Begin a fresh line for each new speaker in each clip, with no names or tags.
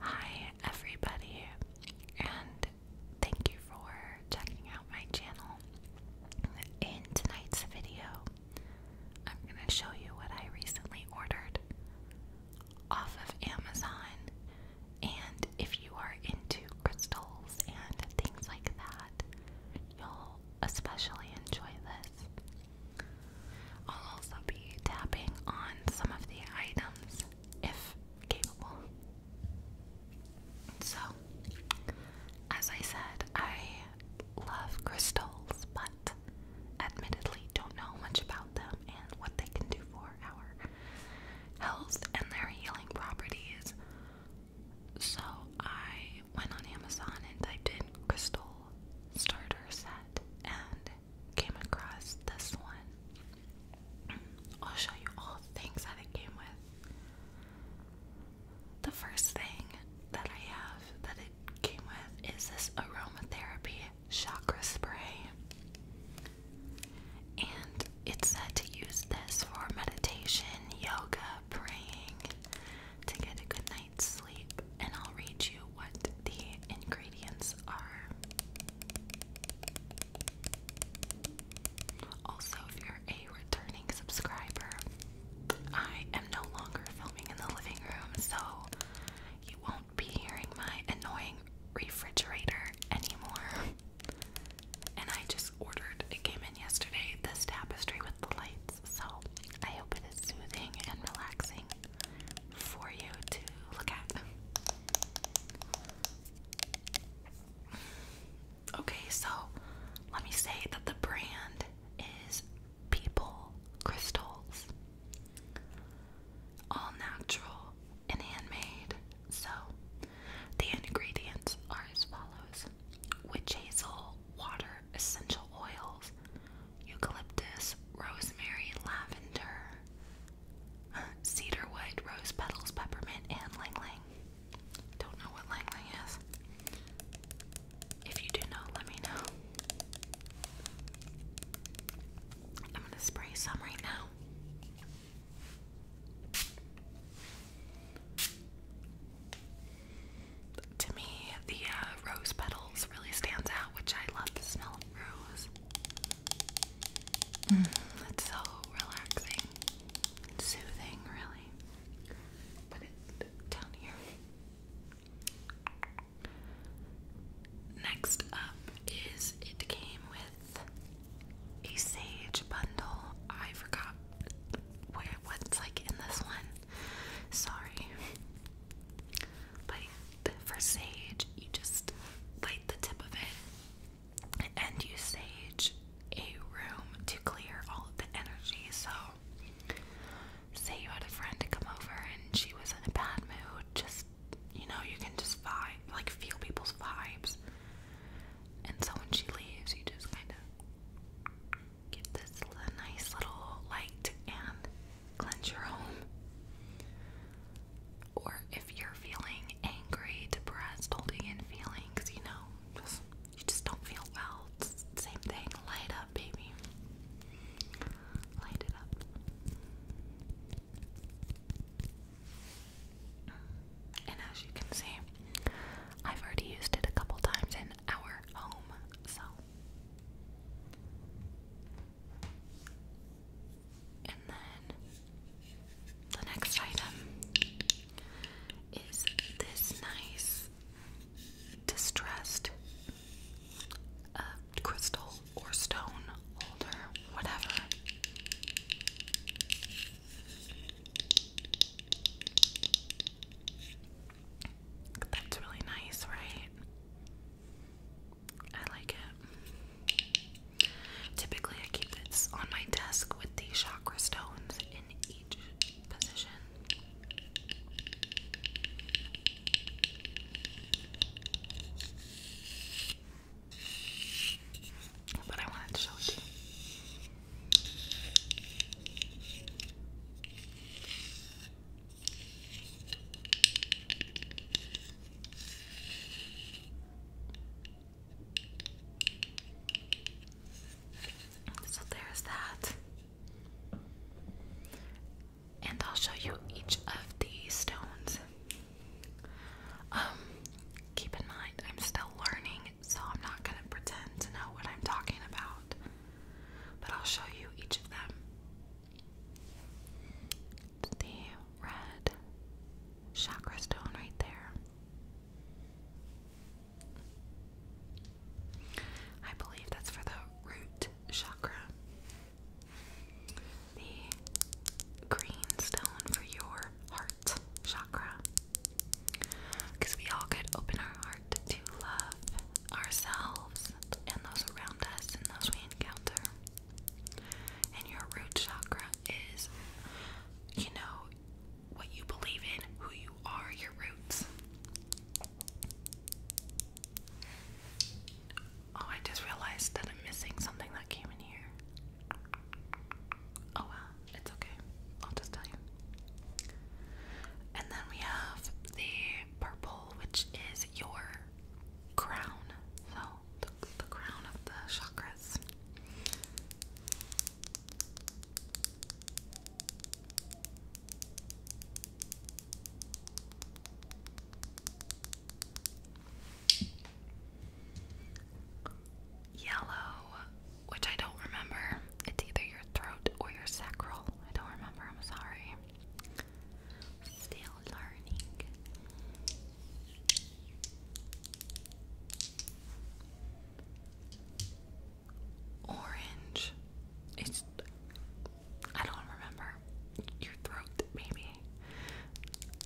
Hi, everybody, and thank you for checking out my channel. In tonight's video, I'm going to show you what I recently ordered off of Amazon. And if you are into crystals and things like that, you'll especially enjoy this. I'll also be tapping on some of the items if capable. So, as I said, I love crystals, but admittedly don't know much about them and what they can do for our health and their healing properties. So, I went on Amazon and typed in crystal starter set, and came across this one. I'll show you all the things that it came with. The first thing that I have that it came with is this aromatherapy chakra spray. And it's said to use this for meditation, yoga, praying, to get a good sleep, and I'll read you what the ingredients are. Also, if you're a returning subscriber, I am no longer filming in the living room, so you won't be hearing my annoying refrigerator anymore. And I just ordered, it came in yesterday, this tapestry with the lights, so I hope it is soothing and relaxing for you to look at. Okay, so let me say that the brand is People Crystals. All natural and handmade. So the ingredients are as follows witch hazel, water, essential oils, eucalyptus, rosemary, lavender, cedarwood, rose petals, peppermint, and lang lang. Don't know what lang is. If you do know, let me know. I'm gonna spray some right now to me, the uh, rose petals really stands out, which I love the smell of rose. Mm, it's so relaxing, soothing, really. Put it down here. Next up is it came with a sage bundle. I forgot where what's like in this one. Sorry. But for sage, you just light the tip of it and you sage a room to clear all of the energy. So, say you had a friend to come over and she was in a bad mood, just you know, you can just vibe, like feel people's vibes. And so when she leaves, you just kind of give this a nice little light and cleanse your home. Or if you're feeling angry, depressed, holding in feelings, you know, just, you just don't feel well. It's the same thing. Light up, baby. Light it up. And as you can see, I've already used it a couple times in our home, so and then the next item is this nice distressed uh, crystal or stone holder, whatever. That's really nice, right? I like it. Typically, I keep this on my desk with the chakra stones in each position. But I wanted to show you. So there's that. And I'll show you each of the stones. Um, keep in mind, I'm still learning, so I'm not gonna pretend to know what I'm talking about. But I'll show you each of them. the red chakra stone right there. I believe that's for the root chakra. The green stone for your heart chakra. Because we all could open our heart to love ourselves and those around us and those we encounter. And your root chakra is, you know, what you believe in, who you are, your roots. Oh, I just realized that I'm missing something that came in here. Oh well, it's okay. I'll just tell you. And then we have the purple, which is your crown. So, the, crown of the chakras. Yellow which I don't remember. It's either your throat or your sacral. I don't remember. I'm sorry. Still learning. Orange. It's. I don't remember. Your throat, maybe.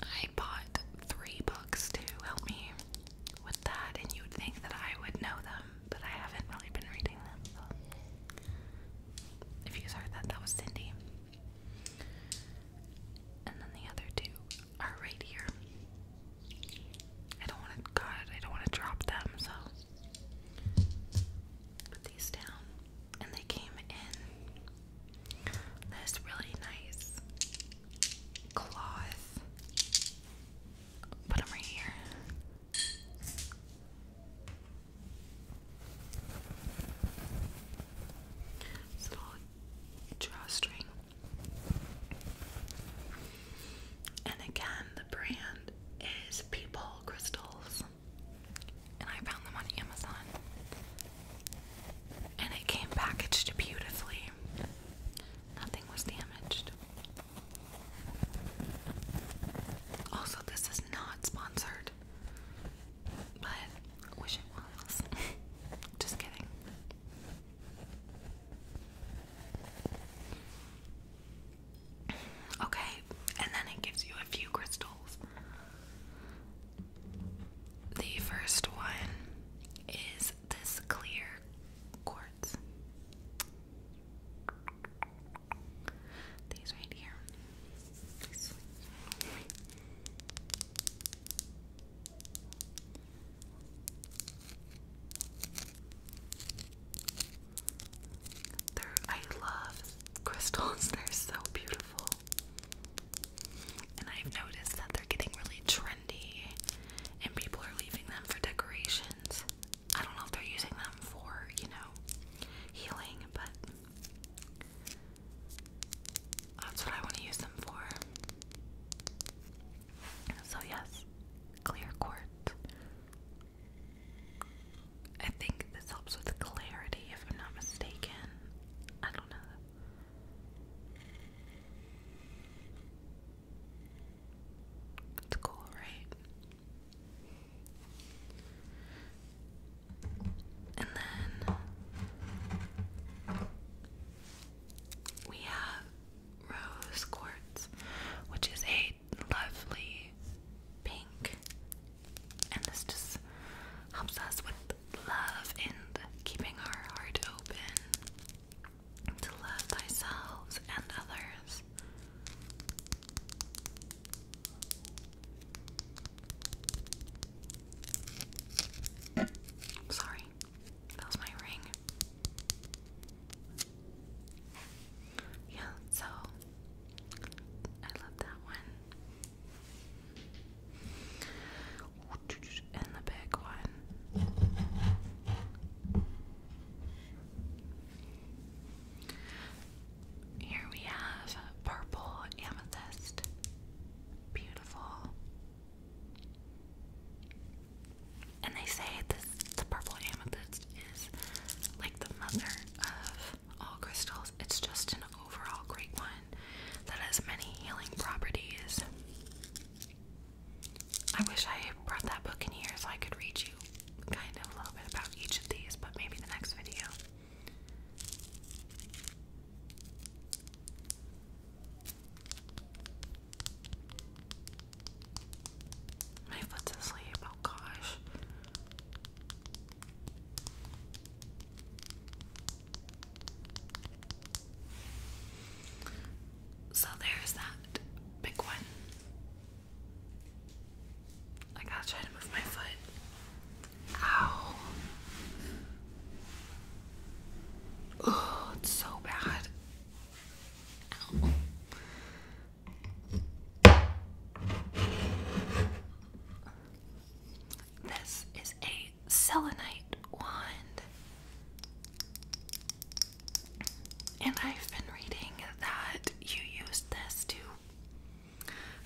I bought three books to help me with that, and you would think that I would know them but I haven't really been reading them. If you guys heard that, that was Cindy. And then the other two are right here. I don't want to, God, I don't want to drop them, so put these down. And they came in this really nice cloth put them right here. little drawstring. And again, the brand is People Crystals. And I found them on Amazon. And it came packaged beautifully. Nothing was damaged. Also, this is not sponsored, but wish it was. Just kidding. Okay, and then it gives you a few crystals. The first one is this clear quartz. These right here. They're, I love crystals, they're so beautiful. And I've noticed that they're getting really trendy and people are leaving them for decorations. I don't know if they're using them for, you know, healing, but that's what I want to use them for. So, yes, clear quartz. I think this helps with clarity, if I'm not mistaken. I don't know. It's cool, right? And then we have rose quartz, which is a lovely pink, and this just helps us with love and keeping our heart open to love thyself and others. Sorry, that was my ring. Yeah, so I love that one and the big one. Here we have purple amethyst. Beautiful. And they say this the purple amethyst is like the mother of all crystals. It's just an overall great one that has many healing properties. I wish I brought that book in here so I could read you kind of a little bit about each of these, but maybe the next video. My foot's asleep, oh gosh. So there's that big one. I gotta try to move my foot. Ow. Oh, so bad. This is a selenite wand. And I've been reading that you use this to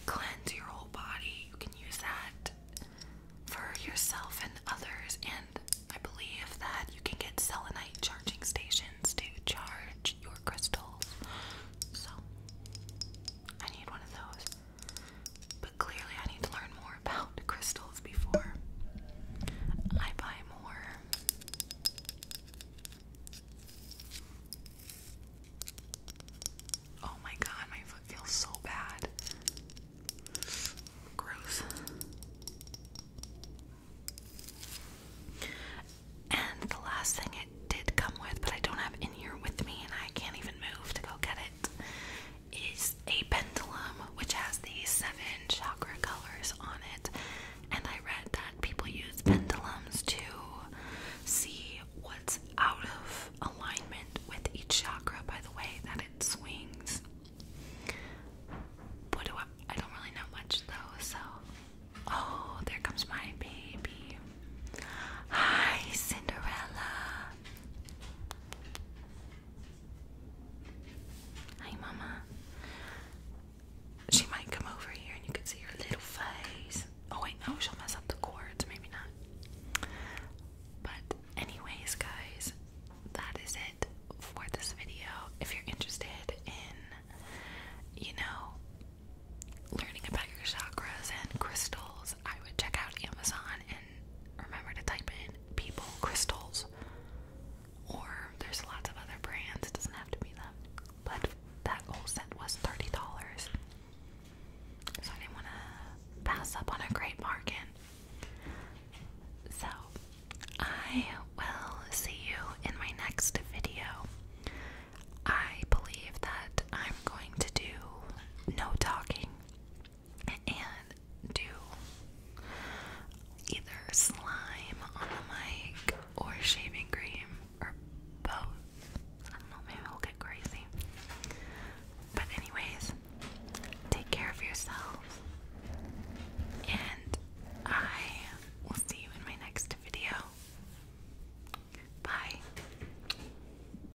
cleanse your whole body. You can use that for yourself and others. And I believe that you can get selenite charging stations to charge your crystals. So, I need one of those. But clearly, I need to learn more about crystals before I buy more. Oh my god, my foot feels so bad. Gross. And the last thing it did come with, but I don't have in here with me, and I can't even move to go get it, is a pendulum which has these seven chakra colors on it. And I read that people use pendulums to see what's out of alignment with each chakra by the way that it swings. What do I I don't really know much though, so oh there comes my baby. Hi Cinderella. Hey, Mama. She might come over here and you can see her little face. Oh, wait, no, she'll mess up the cords. Maybe not. But, anyways, guys, that is it for this video. If you're interested in, you know, learning about your chakras and crystals, I would check out Amazon and remember to type in people crystals. Or there's lots of other brands, it doesn't have to be them. But that whole set was $30. So I didn't want to pass up on a great bargain. So I will see you in my next video. I believe that I'm going to do no talking and do either slime on the mic or shaving cream or both. I don't know, maybe I'll get crazy. But, anyways, take care of yourselves, and I will see you in my next video. Bye.